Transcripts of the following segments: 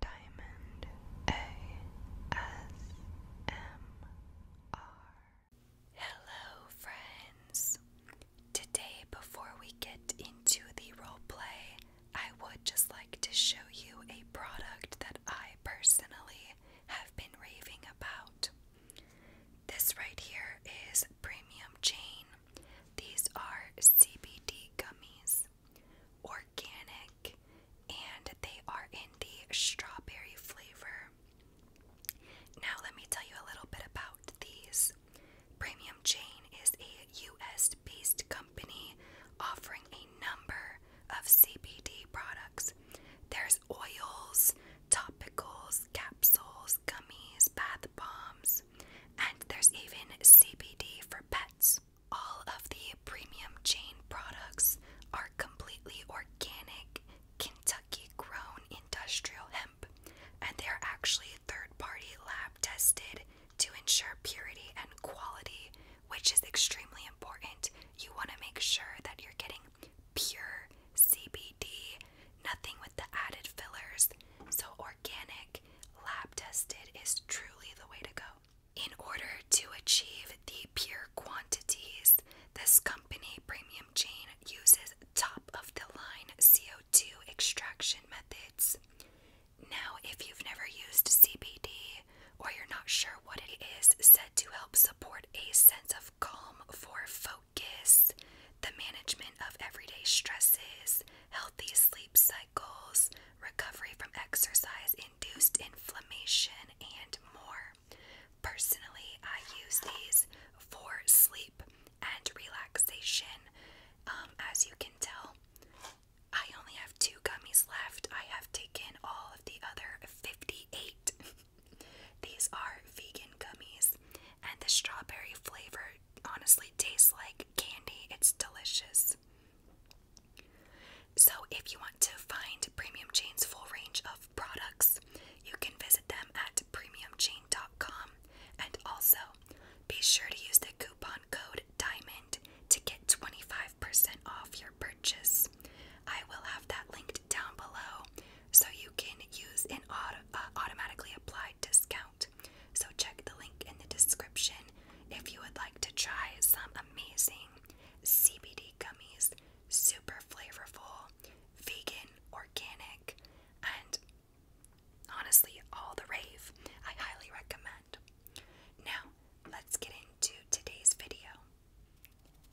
Diamond ASMR. Hello, friends. Today, before we get into the role play, I would just like to show you a product that I personally have been raving about. This right here is Premium Jane. These are CBD gummies organic, and they are in the strawberry flavor. Now, let me tell you a little bit about these. Premium Jane is a US based company offering a number of CBD products. There's oils, topicals, capsules, gummies, bath bombs, and there's even CBD for pets. All of the premium chain products are completely organic, Kentucky grown industrial hemp, and they are actually third party lab tested to ensure purity and quality, which is extremely important. You want to make sure that you're getting pure CBD, nothing with the added fillers. So, organic, lab tested is truly the way to go in order to achieve the pure quantities, this company, Premium Chain, uses top of the line CO2 extraction methods. Now, if you've never used CBD or you're not sure what it is, said to help support a sense of calm for focus, the management of everyday stresses, healthy sleep cycles, Goals, recovery from exercise induced inflammation, and more. Personally, I use these for sleep and relaxation. Um, as you can tell, I only have two gummies left. I have taken all of the other 58. These are vegan gummies, and the strawberry flavor honestly tastes like candy. It's delicious. So, if you want to find Premium Chain's full range of products, you can visit them at premiumchain.com and also be sure to use the coupon code DIAMOND to get 25% off your purchase. I will have that linked down below so you can use an auto uh, automatically applied discount. So check the link in the description if you would like to try some amazing CBD gummies, super flavorful, vegan, organic, and honestly all the rave. I highly recommend. Now, let's get into today's video.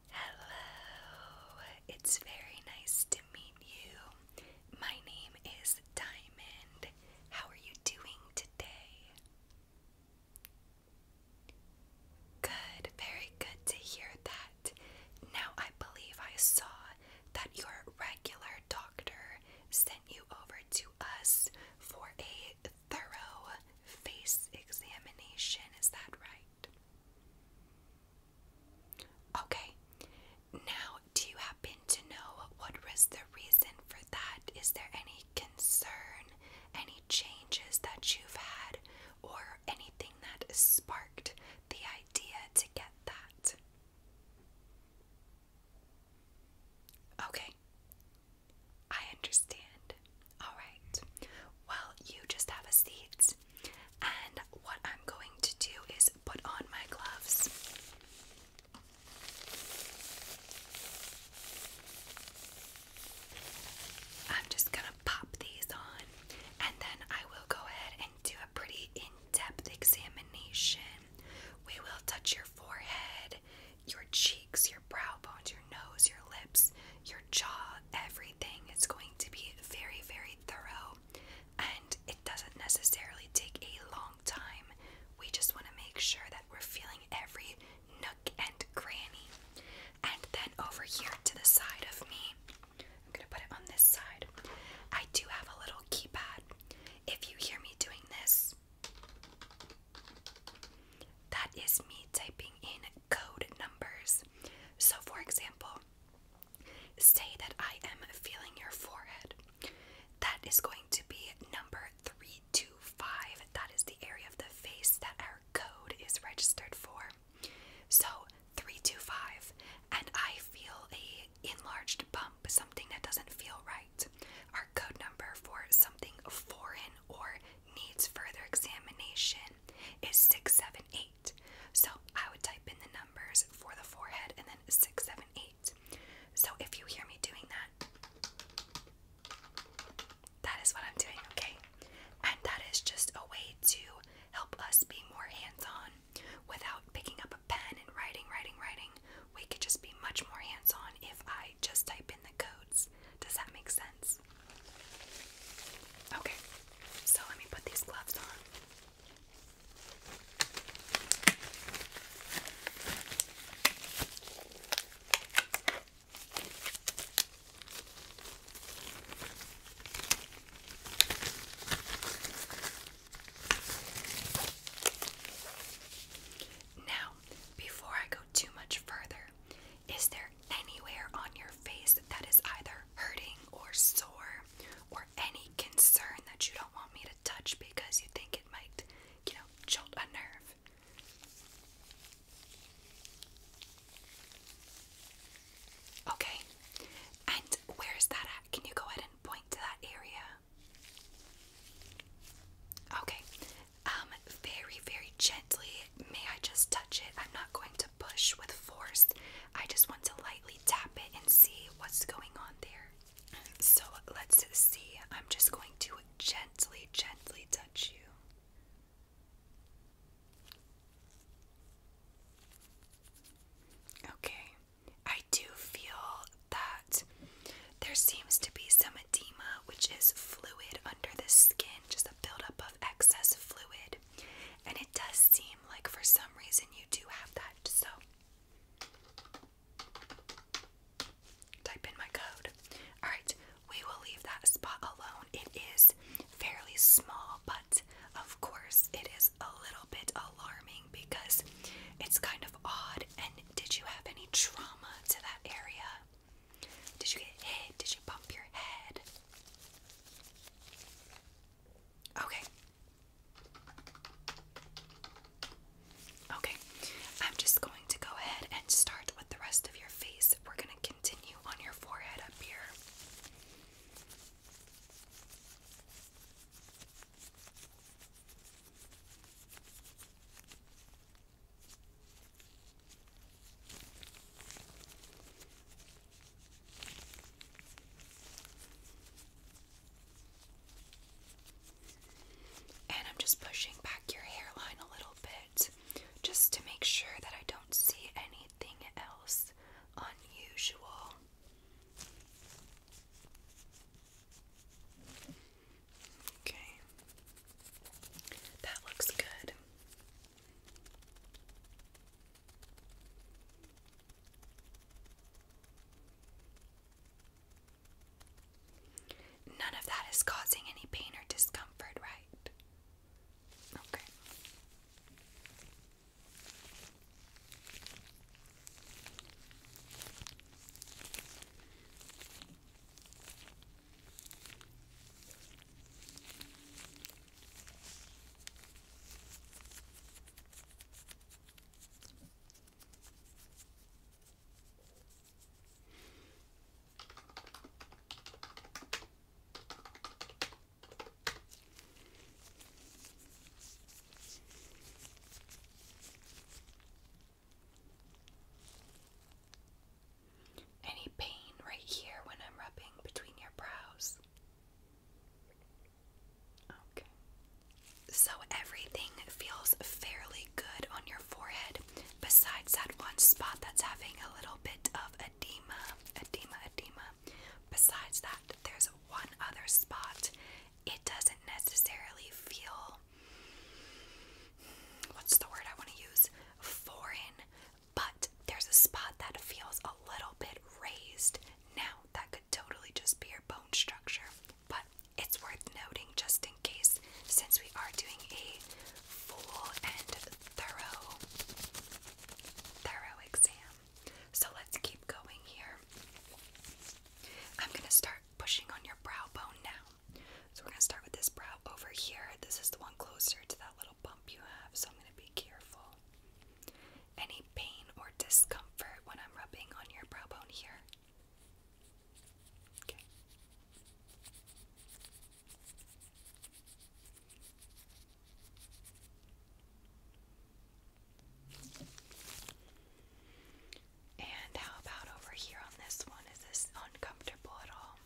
Hello, it's very nice to meet you. My name is Diamond. How are you doing Good, very good to hear that. Now I believe I saw that your regular doctor sent you over to us for a thorough face examination. Is that right? Okay. Now, do you have happen to know what was the reason for that? Is there any concern, any changes that you've had, or anything that sparked the idea to get that? Okay, I understand. All right, well, you just have a seat, and what I'm going to do is put on my gloves. I'm just gonna pop these on and then I will go ahead and do a pretty in depth examination. We will touch your forehead, your cheeks, your brow bones, your nose, your lips, your jaw, everything It's going to be very, very thorough. And it doesn't necessarily take a long time. We just want to make sure that we're feeling every nook and cranny. And then over here to the side of me, I'm going to put it on this side. I do have a little keypad. If you hear me doing this, that is me typing in code numbers. So, for example, say that I am feeling your forehead. That is going to be number 325. That is the area of the face that our code is registered for. So, 325. And I feel a enlarged bump, something that doesn't feel right. Our code number for something foreign or needs further examination is 678. So, I would type in the number for the forehead and then six, seven, eight. So if you hear me doing that, that is what I'm doing, okay? And that is just a way to help us be more hands on without picking up a pen and writing, writing, writing. We could just be much more hands on if I just type in the codes. Does that make sense? Okay, so let me put these gloves on. Now, before I go too much further, is there anywhere on your face that is either hurting or sore or any concern that you don't want me to touch because you think it might, you know, jolt a nerve. Okay, and where is that at? Can you go ahead and point to that area? Okay, um, very, very gently. May I just touch it? I'm not going to push with force. I just want to lightly tap it and see what's going on there. So let's see. I'm just going to gently, gently touch you. Okay, I do feel that there seems to be some edema, which is fluid under the skin, just a buildup of excess fluid. And it does seem like for some reason you do have that. So Type in my code. Alright, we will leave that spot alone. It is fairly small, but of course, it is a little bit alarming because it's kind of odd. And did you have any trauma to that area? Did you get hit? Did you bump your head? Okay. Okay. I'm just going to go ahead and start with the rest of your face. We're going to continue on your forehead up here. And I'm just pushing back your hairline a little bit just to make sure that I don't see anything else unusual. Okay, that looks good. None of that is causing any pain or discomfort, right? Okay. Any pain right here when I'm rubbing between your brows? Okay. So everything feels fairly good on your forehead, besides that one spot that's having a little bit of edema, edema, edema. Besides that, there's one other spot. It doesn't necessarily feel what's the word I want to use? Foreign, but there's a spot that feels a little bit raised. Now, that could totally just be your bone structure, but it's worth noting just in case, since we are doing a full and thorough, thorough exam. So let's keep going here. I'm going to start pushing on your brow bone now. So we're going to start with this brow over here. This is the one closer to that little bump you have, so I'm going to be careful. Any pain or discomfort when I'm rubbing on your brow bone here? And how about over here on this one? Is this uncomfortable at all?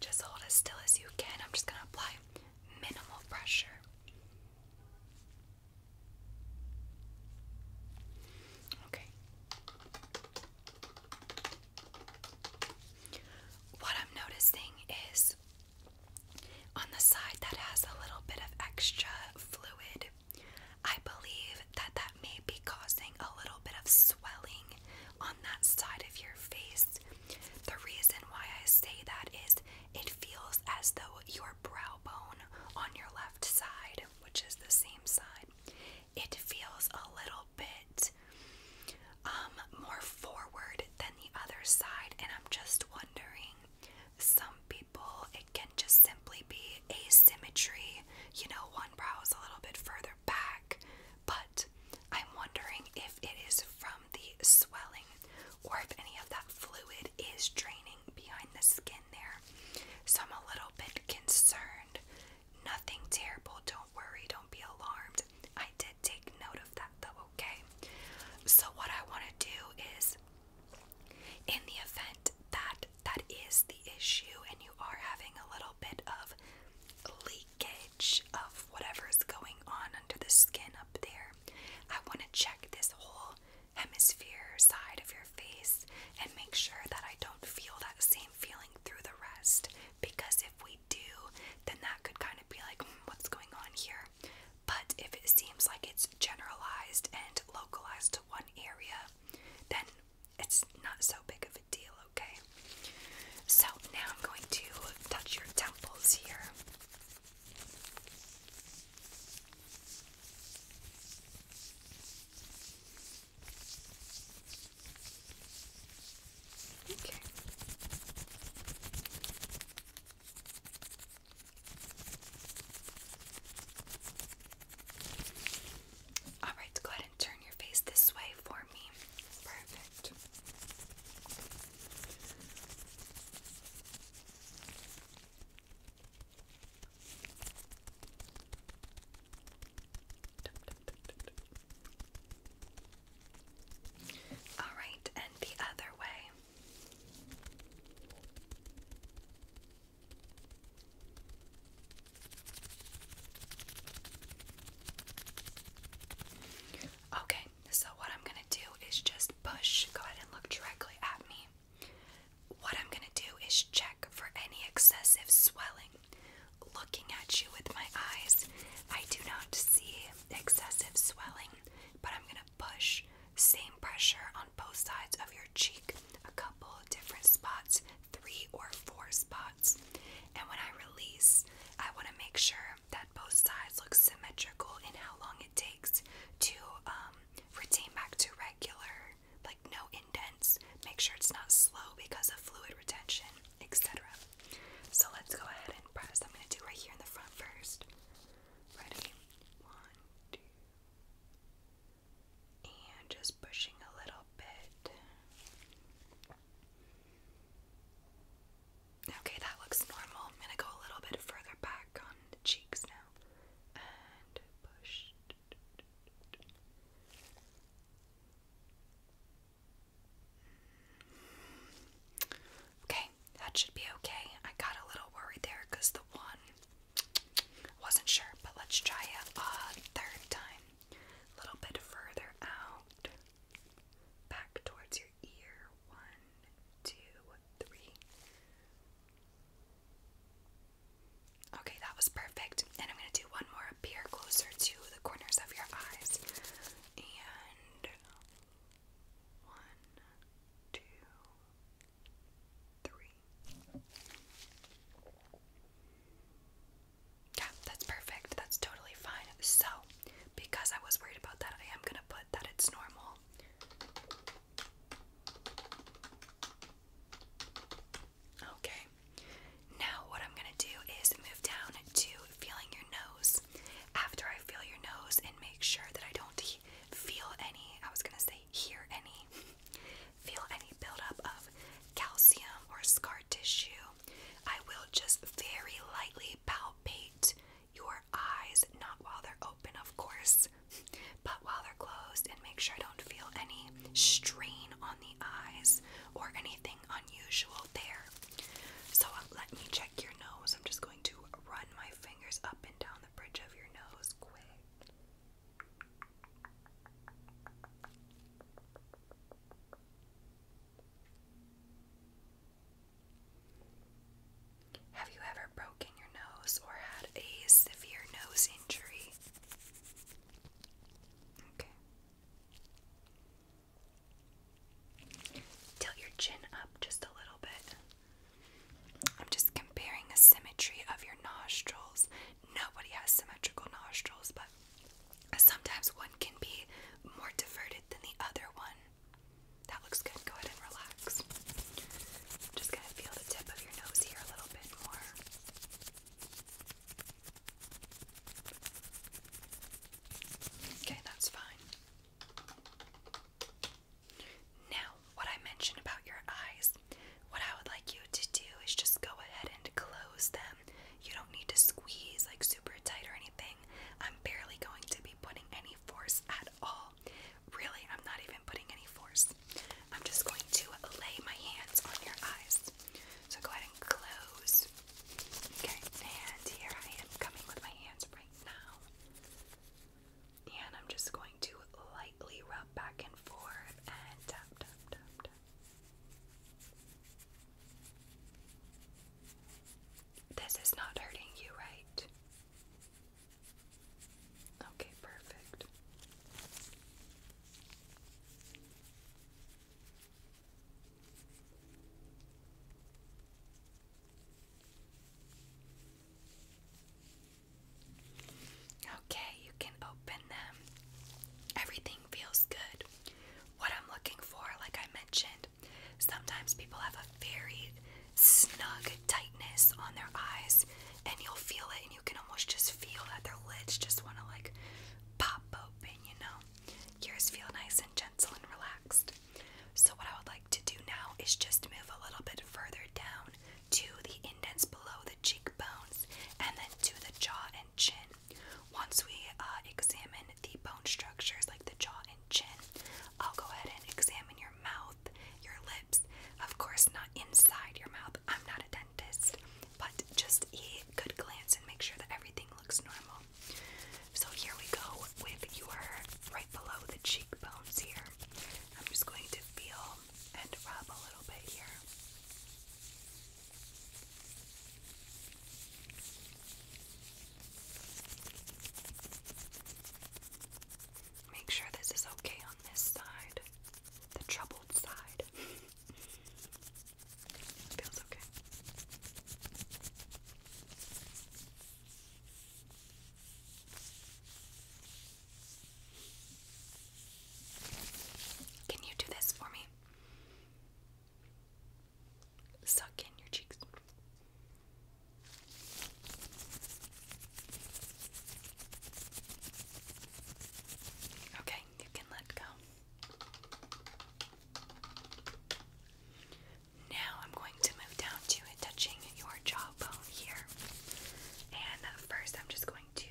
Just hold as still as you can. I'm just going to apply minimal pressure. Okay. What I'm noticing is on the side that has a little bit of extra fluid, I believe that that may be causing a little bit of swelling on that side of your face. The reason why I say that is it feels as though your brow bone on your left left side, which is the same side, it feels a little bit um, more forward than the other side. And I'm just wondering, some people, it can just simply be asymmetry. You know, one brow is a little bit further back, but I'm wondering if it is from the swelling or if any of that fluid is draining behind the skin there. So I'm a little bit concerned. Nothing terrible. Don't worry. Don't be alarmed. I did take note of that though, okay? So what I want to do is in the event that that is the issue and you are having a little bit of leakage of whatever is going on under the skin up there, I want to check this hole hemisphere side of your face and make sure that I don't feel that same feeling through the rest. Because if we do, then that could kind of be like, hmm, what's going on here? But if it seems like it's generalized and localized to one area, then it's not so big of a deal, okay? So now I'm going to touch your temples here. Okay. All right, go ahead and turn your face this way for me. Perfect. All right, and the other way. Okay, so what I'm going to do is just push. Go ahead and look directly at me. What I'm going to do is check for any excessive swelling. Looking at you with my eyes, I do not see excessive swelling, but I'm going to push same pressure on both sides of your cheek, a couple different spots, three or four spots. And when I release, I want to make sure that both sides look symmetrical in how long it takes to um, retain back to regular, like no indents. Make sure it's not slow because of fluid retention, etc. So let's go ahead and press. I'm going to do right here in the front first. Ready? One, two. And just pushing a little bit. Okay, that looks normal. I'm going to go a little bit further back on the cheeks now. Okay, that should be okay. I got a little worried there because the one wasn't sure, but let's try it a third time. A little bit further out, back towards your ear. One, two, three. Okay, that was perfect. And I'm going to do one more appear closer to the corners of your eyes. And one, two, three. Yeah, that's perfect. That's totally fine. So, because I was worried about that, I am going to put that it's normal Okay, now what I'm gonna do is move down to feeling your nose. After I feel your nose and make sure that I don't feel any, I was gonna say hear any, feel any buildup of calcium or scar tissue, I will just very lightly palpate your eyes, not while they're open, of course, but while they're closed, and make sure I don't feel any strain on the eyes or anything unusual there. So uh, let me check your nose. I'm just going to run my fingers up and down the bridge of your nose quick. Have you ever broken your nose or had a severe nose injury? Okay. Tilt your chin up just a little bit. I'm just comparing the symmetry of your nostrils. Nobody has symmetrical nostrils, but sometimes one can be more diverted than the other one. That looks good. Go ahead and relax. just going to feel the tip of your nose here a little bit more. Okay, that's fine. Now, what I mentioned about your eyes, what I would like you to do is just go ahead and close them. You don't need to squeeze like super tight or anything. I'm barely going to be putting any force at all all. Really, I'm not even putting any force. I'm just going to lay my hands on your eyes. So go ahead and close. Okay, and here I am coming with my hands right now. And I'm just going to lightly rub back and forth and tap, tap, tap, tap. This is not hurting you, right? Okay, perfect. Okay, you can open them. Everything feels good. What I'm looking for, like I mentioned, Sometimes people have a very snug tightness on their eyes, and you'll feel it, and you can almost just feel that their lids just want to like pop open, you know. Yours feel nice and gentle and relaxed. So, what I would like to do now is just move a little bit further down to the indents below the cheekbones and then to the jaw and chin. Once we uh, examine the bone structures like the jaw and chin, I'll go ahead and examine your mouth, your lips. Of course, not inside your mouth. I'm not a dentist, but just a good glance and make sure that everything looks normal. So here we go with your right below the cheekbones here. I'm just going to feel and rub a little bit here. Make sure this is okay on this side, the troubled side. Feels okay. Can you do this for me? suck in your cheeks. Okay, you can let go. Now I'm going to move down to touching your jawbone here. And first, I'm just going to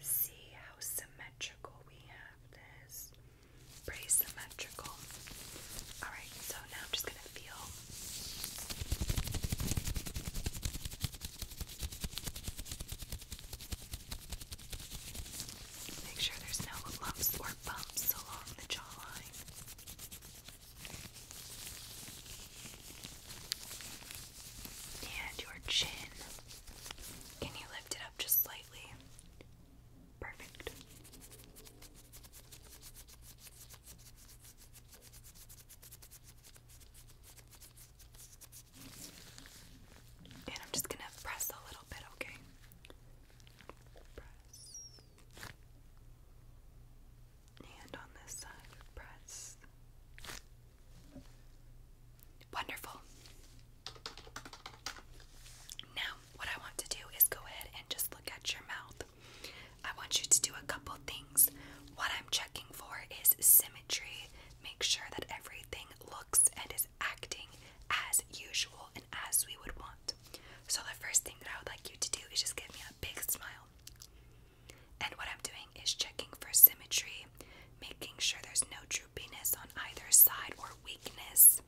see how symmetrical we have this pretty symmetrical. Alright, so now I'm just gonna feel. Make sure there's no lumps or bumps along the jawline. And your chin. Can you lift it up just slightly? Perfect. And I'm just going to press a little bit, okay? Press. And on this side, press. Wonderful. Now, what I want to do is go ahead and just look at your mouth. I want you to do a couple things. What I'm checking for is symmetry. Make sure that everything looks and is acting as usual and as we would want. So, the first thing that I would like you to do is just give me a big smile. And what I'm doing is checking for symmetry, making sure there's no droopiness on either side or weakness.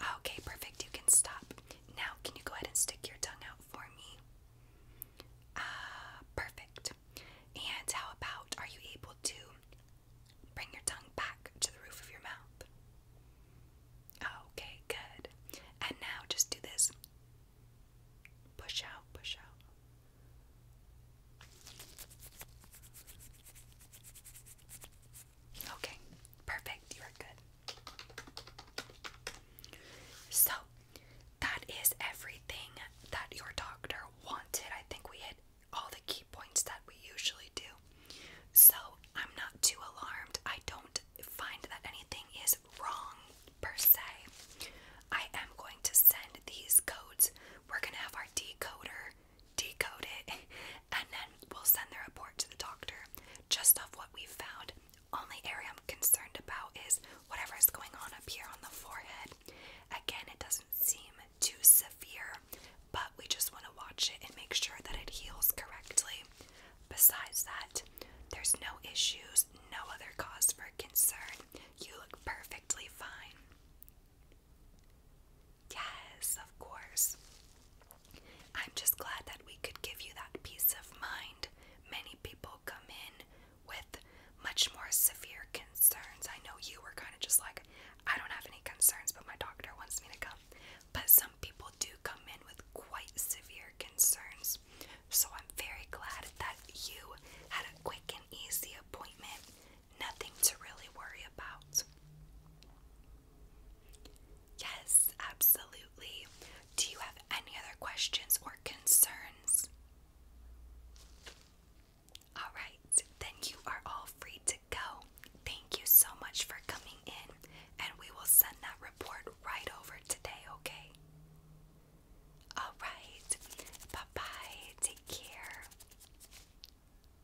Oh, okay, perfect. You can stop. Now, can you go ahead and stick your tongue out for me? Ah, perfect. And how about are you able to bring your tongue back to the roof of your mouth? Okay, good. And now just do this push out, push out. Okay, perfect. You are good. So, that is everything that your doctor wanted. I think we hit all the key points that we usually do. So, I'm not too alarmed. I don't find that anything is wrong per se. I am going to send these codes. We're going to have our decoder decode it, and then we'll send the report to the doctor just off what we found. Only area I'm concerned about is whatever is going on up here on the forehead. Again, it doesn't seem too severe, but we just want to watch it and make sure that it heals correctly. Besides that, there's no issues, no other cause for concern. You look perfectly fine. Yes, of course. I'm just glad that we could give you that peace of mind. Many people come in with much more severe concerns. I know you were kind of just like, I don't have any concerns, but my doctor wants me to come. But some people do come in with quite severe concerns. So I'm very glad that you had a quick and easy appointment nothing to really worry about. Yes, absolutely. Do you have any other questions or concerns? Alright, then you are all free to go. Thank you so much for coming in, and we will send that report right over today, okay? Alright, bye bye, take care.